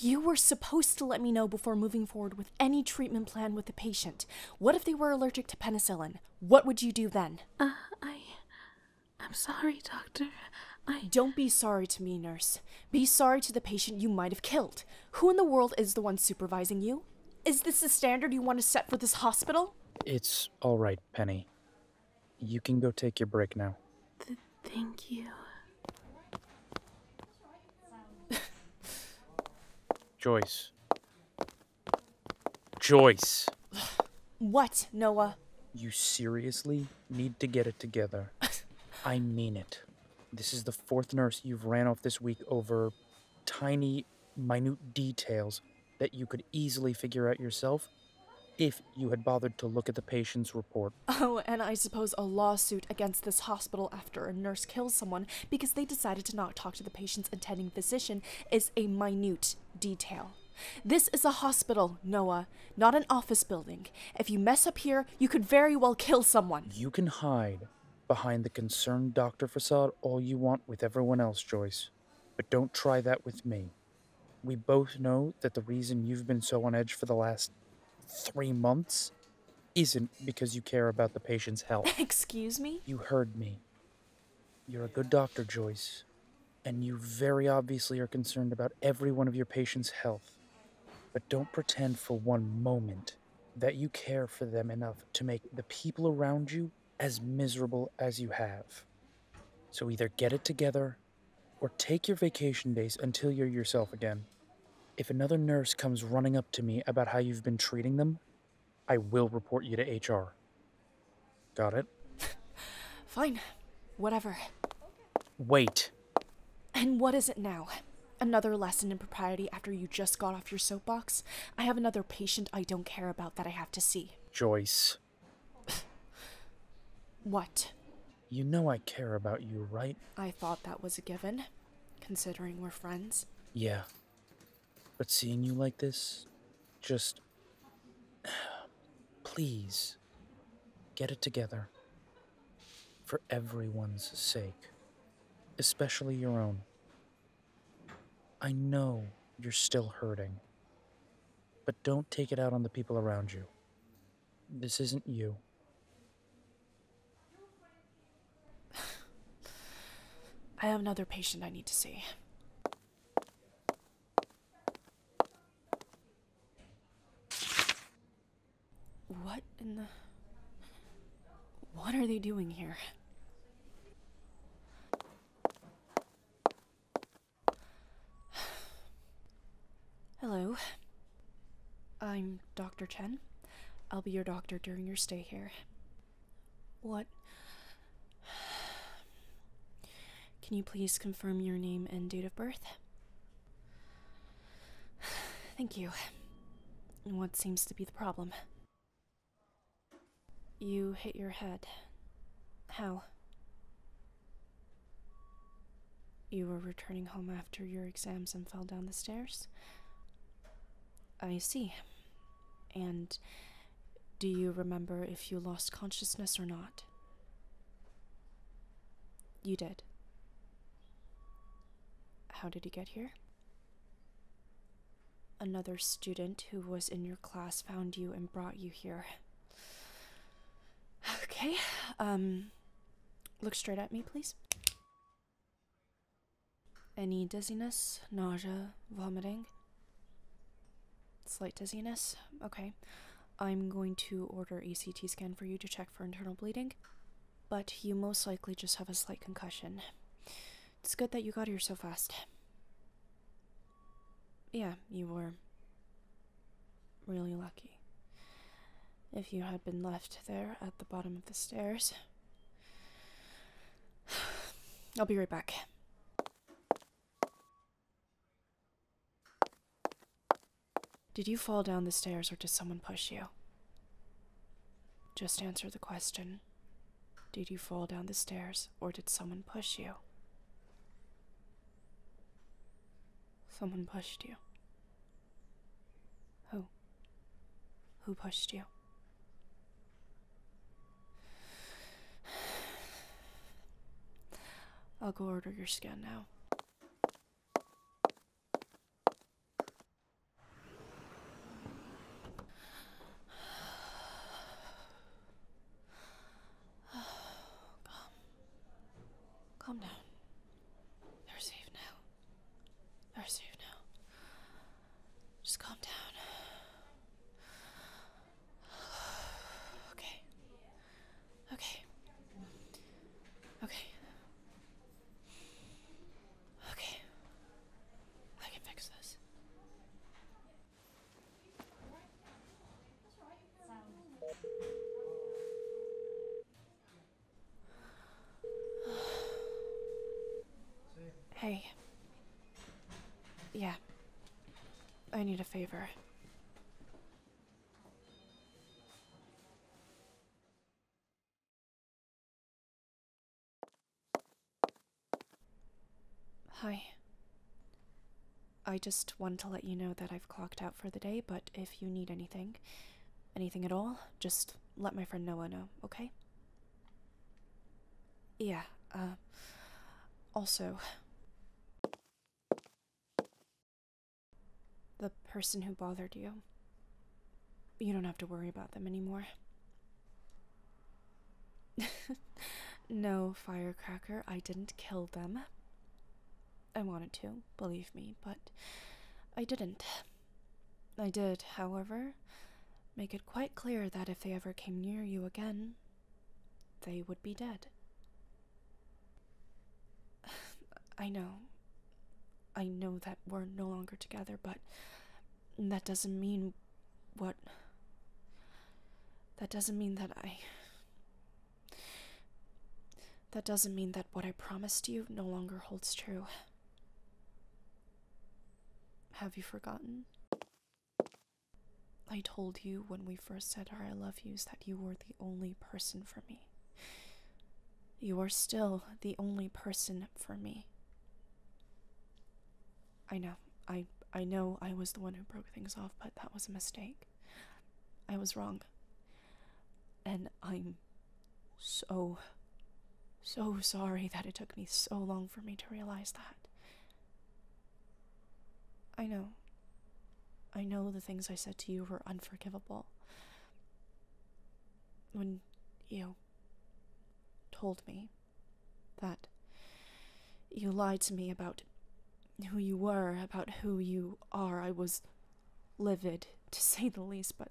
You were supposed to let me know before moving forward with any treatment plan with the patient. What if they were allergic to penicillin? What would you do then? Uh, I. I'm sorry, Doctor. I. Don't be sorry to me, nurse. Be sorry to the patient you might have killed. Who in the world is the one supervising you? Is this the standard you want to set for this hospital? It's all right, Penny. You can go take your break now. thank you. Joyce. Joyce. What, Noah? You seriously need to get it together. I mean it. This is the fourth nurse you've ran off this week over tiny, minute details that you could easily figure out yourself if you had bothered to look at the patient's report. Oh, and I suppose a lawsuit against this hospital after a nurse kills someone because they decided to not talk to the patient's attending physician is a minute detail. This is a hospital, Noah, not an office building. If you mess up here, you could very well kill someone. You can hide behind the concerned doctor facade all you want with everyone else, Joyce, but don't try that with me. We both know that the reason you've been so on edge for the last three months isn't because you care about the patient's health. Excuse me? You heard me. You're a good doctor, Joyce and you very obviously are concerned about every one of your patients' health. But don't pretend for one moment that you care for them enough to make the people around you as miserable as you have. So either get it together or take your vacation days until you're yourself again. If another nurse comes running up to me about how you've been treating them, I will report you to HR. Got it. Fine. Whatever. Wait. And what is it now? Another lesson in propriety after you just got off your soapbox? I have another patient I don't care about that I have to see. Joyce. what? You know I care about you, right? I thought that was a given, considering we're friends. Yeah. But seeing you like this just please get it together for everyone's sake, especially your own. I know you're still hurting, but don't take it out on the people around you. This isn't you. I have another patient I need to see. What in the... What are they doing here? Hello. I'm Dr. Chen. I'll be your doctor during your stay here. What? Can you please confirm your name and date of birth? Thank you. What seems to be the problem? You hit your head. How? You were returning home after your exams and fell down the stairs? I see. And do you remember if you lost consciousness or not? You did. How did you get here? Another student who was in your class found you and brought you here. Okay, um, look straight at me, please. Any dizziness, nausea, vomiting? Slight dizziness. Okay. I'm going to order a CT scan for you to check for internal bleeding, but you most likely just have a slight concussion. It's good that you got here so fast. Yeah, you were really lucky. If you had been left there at the bottom of the stairs. I'll be right back. Did you fall down the stairs or did someone push you? Just answer the question. Did you fall down the stairs or did someone push you? Someone pushed you. Who? Who pushed you? I'll go order your scan now. calm. Calm down. They're safe now. They're safe now. Just calm down. Okay. Okay. Okay. Okay. I can fix this. Hey. Yeah. I need a favor. Hi. I just wanted to let you know that I've clocked out for the day, but if you need anything, anything at all, just let my friend Noah know, okay? Yeah, uh, also. The person who bothered you. You don't have to worry about them anymore. no, Firecracker, I didn't kill them. I wanted to, believe me, but I didn't. I did, however, make it quite clear that if they ever came near you again, they would be dead. I know. I know that we're no longer together, but that doesn't mean what. That doesn't mean that I. That doesn't mean that what I promised you no longer holds true. Have you forgotten? I told you when we first said our I love yous that you were the only person for me. You are still the only person for me. I know. I I know I was the one who broke things off, but that was a mistake. I was wrong. And I'm so, so sorry that it took me so long for me to realize that. I know. I know the things I said to you were unforgivable. When you told me that you lied to me about who you were, about who you are, I was livid, to say the least, but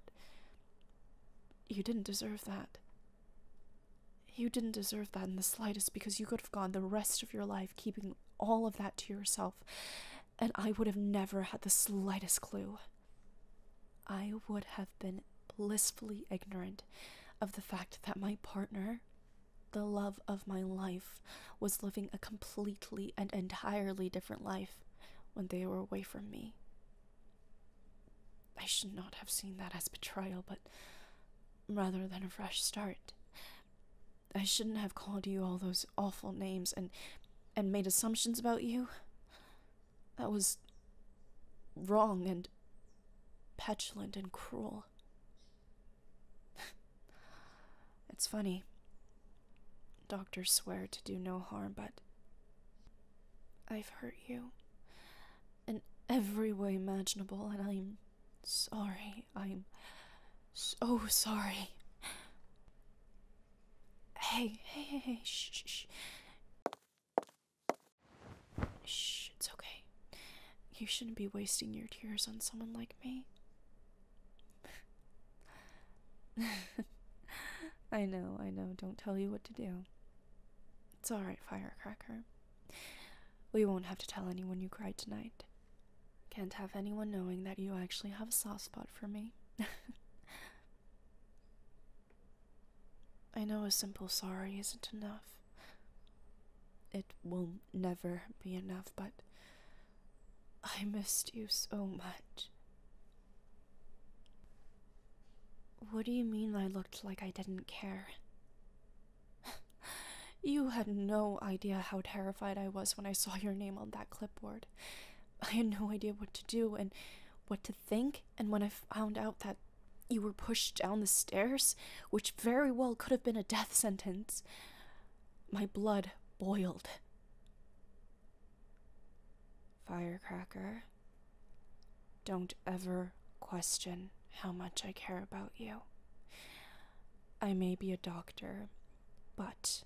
you didn't deserve that. You didn't deserve that in the slightest because you could have gone the rest of your life keeping all of that to yourself, and I would have never had the slightest clue. I would have been blissfully ignorant of the fact that my partner, the love of my life, was living a completely and entirely different life when they were away from me. I should not have seen that as betrayal, but rather than a fresh start. I shouldn't have called you all those awful names and and made assumptions about you. That was wrong and petulant and cruel. it's funny. Doctors swear to do no harm, but I've hurt you in every way imaginable, and I'm sorry. I'm so sorry. Hey, hey, hey, hey, shh, shh, shh. Shh, it's okay. You shouldn't be wasting your tears on someone like me. I know, I know. Don't tell you what to do. It's alright, Firecracker. We won't have to tell anyone you cried tonight. Can't have anyone knowing that you actually have a soft spot for me. I know a simple sorry isn't enough. It will not never be enough, but I missed you so much. What do you mean I looked like I didn't care? you had no idea how terrified I was when I saw your name on that clipboard. I had no idea what to do and what to think, and when I found out that you were pushed down the stairs, which very well could have been a death sentence, my blood boiled. Firecracker, don't ever question how much I care about you. I may be a doctor, but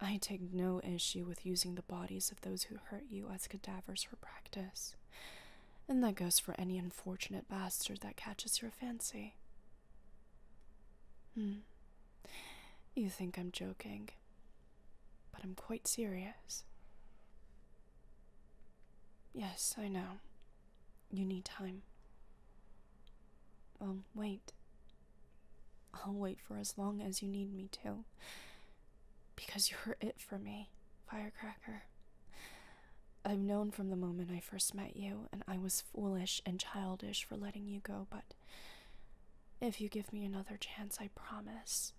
I take no issue with using the bodies of those who hurt you as cadavers for practice. And that goes for any unfortunate bastard that catches your fancy. Hmm. You think I'm joking, but I'm quite serious. Yes, I know. You need time. Um, wait. I'll wait for as long as you need me to. Because you're it for me, Firecracker. I've known from the moment I first met you, and I was foolish and childish for letting you go, but if you give me another chance, I promise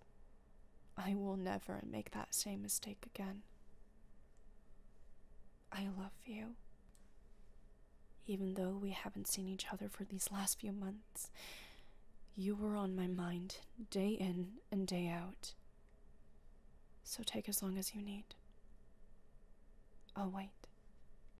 I will never make that same mistake again. I love you. Even though we haven't seen each other for these last few months, you were on my mind day in and day out. So take as long as you need. I'll wait.